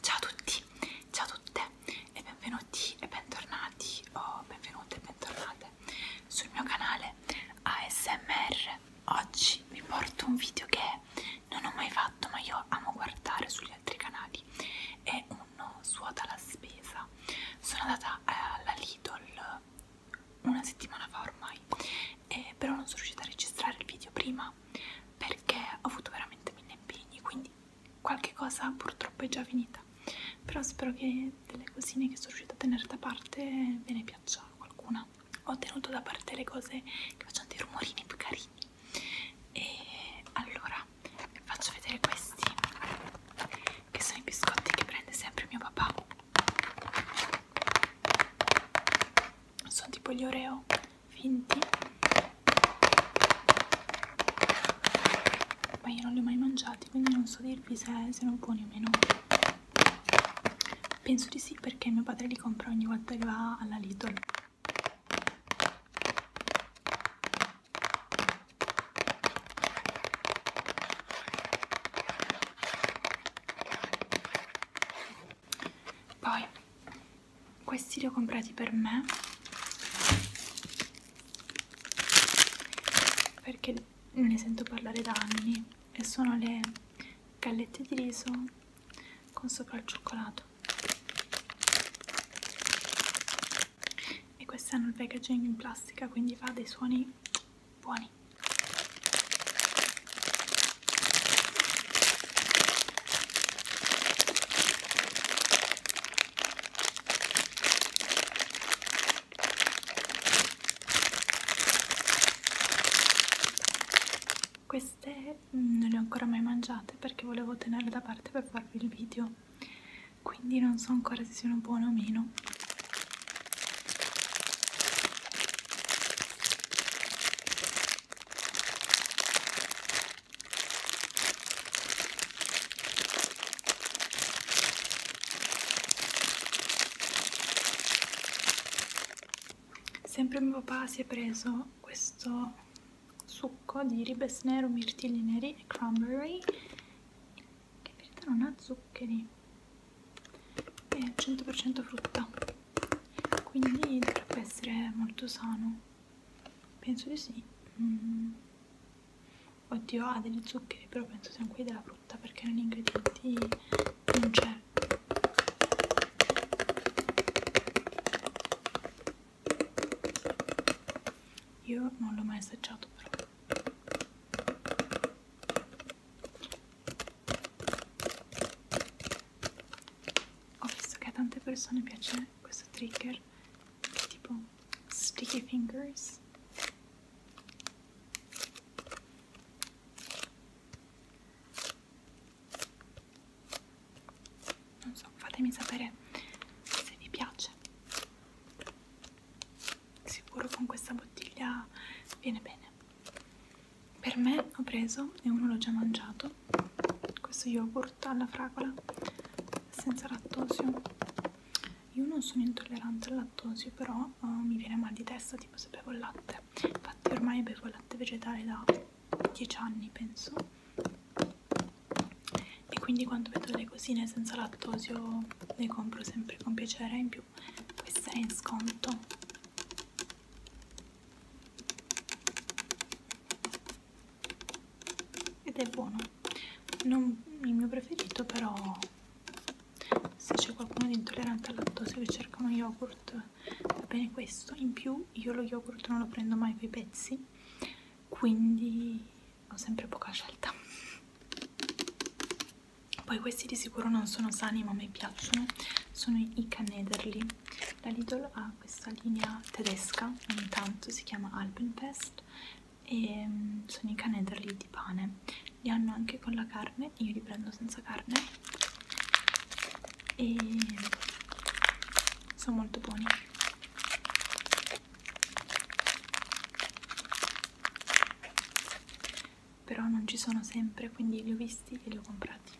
Ciao a tutti, ciao a tutte e benvenuti e bentornati o oh, benvenute e bentornate sul mio canale ASMR. Oggi vi porto un video che non ho mai fatto ma io amo guardare sugli altri canali. È uno suota alla spesa. Sono andata alla Lidl una settimana fa ormai, eh, però non sono riuscita a registrare il video prima perché ho avuto veramente mille impegni quindi qualche cosa purtroppo è già finita però spero che delle cosine che sono riuscita a tenere da parte ve ne piaccia qualcuna ho tenuto da parte le cose che facciano dei rumorini più carini e allora vi faccio vedere questi che sono i biscotti che prende sempre mio papà sono tipo gli oreo finti ma io non li ho mai mangiati quindi non so dirvi se sono buoni o meno penso di sì perché mio padre li compra ogni volta che va alla Lidl poi questi li ho comprati per me perché ne sento parlare da anni e sono le gallette di riso con sopra il cioccolato e queste hanno il packaging in plastica quindi fa dei suoni buoni queste mm, non le ho ancora mai mangiate perché volevo tenerle da parte per farvi il video, quindi non so ancora se siano buone o meno. Sempre mio papà si è preso questo succo di ribes nero, mirtilli neri e cranberry che in verità non ha zuccheri è 100% frutta quindi dovrebbe essere molto sano Penso di sì. Mm. Oddio, ha degli zuccheri, però penso siano quelli della frutta perché negli ingredienti non c'è. Io non l'ho mai assaggiato però ho visto che a tante persone piace questo trigger che è tipo sticky fingers non so, fatemi sapere se vi piace sicuro con questa bottiglia viene bene per me ho preso e uno l'ho già mangiato questo yogurt yogurt alla fragola senza lattosio io non sono intollerante al lattosio però oh, mi viene mal di testa tipo se bevo il latte infatti ormai bevo il latte vegetale da 10 anni penso e quindi quando vedo le cosine senza lattosio le compro sempre con piacere in più questa è in sconto ed è buono non il mio preferito però se c'è qualcuno di intollerante al lattosio che cerca uno yogurt va bene questo in più io lo yogurt non lo prendo mai coi pezzi quindi ho sempre poca scelta poi questi di sicuro non sono sani ma a me piacciono sono i canederli la Lidl ha da questa linea tedesca, ogni tanto si chiama Alpenfest e mm, sono i canederli di pane, li hanno anche con la carne, io li prendo senza carne e sono molto buoni. Però non ci sono sempre, quindi li ho visti e li ho comprati.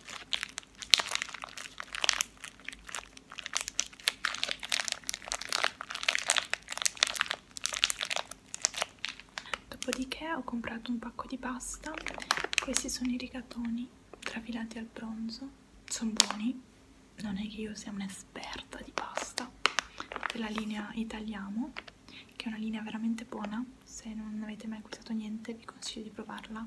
Dopodiché ho comprato un pacco di pasta, questi sono i rigatoni trafilati al bronzo, sono buoni, non è che io sia un'esperta di pasta, della linea Italiamo, che è una linea veramente buona, se non avete mai acquistato niente vi consiglio di provarla,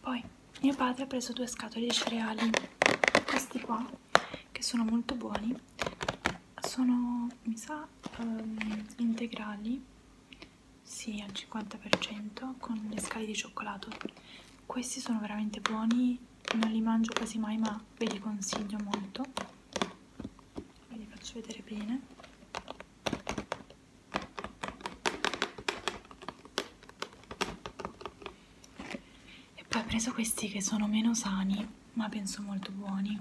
Poi mio padre ha preso due scatole di cereali, questi qua, che sono molto buoni, sono mi sa um, integrali, sì al 50% con le scale di cioccolato. Questi sono veramente buoni, non li mangio quasi mai ma ve li consiglio molto. Ve li faccio vedere bene e poi ho preso questi che sono meno sani ma penso molto buoni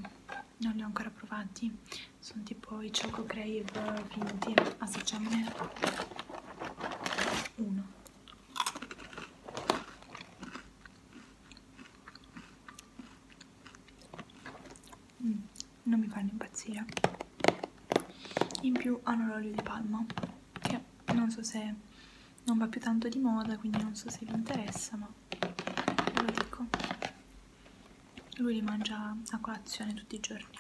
non li ho ancora provati sono tipo i choco crave finti assaggiamone ah, uno mm non mi fanno impazzire in più hanno l'olio di palma che non so se non va più tanto di moda quindi non so se vi interessa ma ve lo dico lui li mangia a colazione tutti i giorni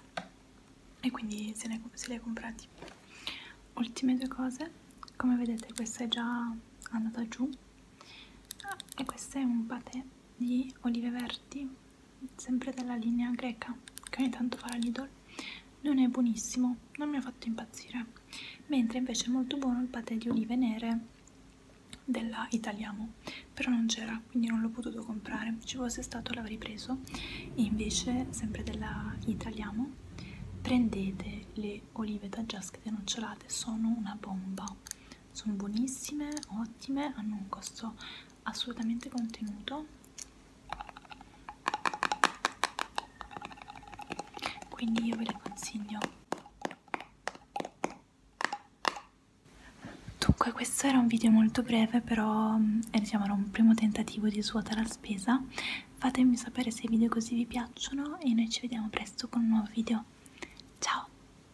e quindi se, ne, se li ha comprati ultime due cose come vedete questa è già andata giù ah, e questo è un patè di olive verdi sempre della linea greca che ogni tanto fa la Lidl non è buonissimo non mi ha fatto impazzire mentre invece è molto buono il patè di olive nere della Italiamo però non c'era quindi non l'ho potuto comprare ci fosse stato l'avrei preso e invece sempre della Italiamo prendete le olive da già scadenocciolate sono una bomba sono buonissime, ottime, hanno un costo assolutamente contenuto quindi io ve le consiglio dunque questo era un video molto breve però mm, è diciamo, era un primo tentativo di svuota la spesa fatemi sapere se i video così vi piacciono e noi ci vediamo presto con un nuovo video ciao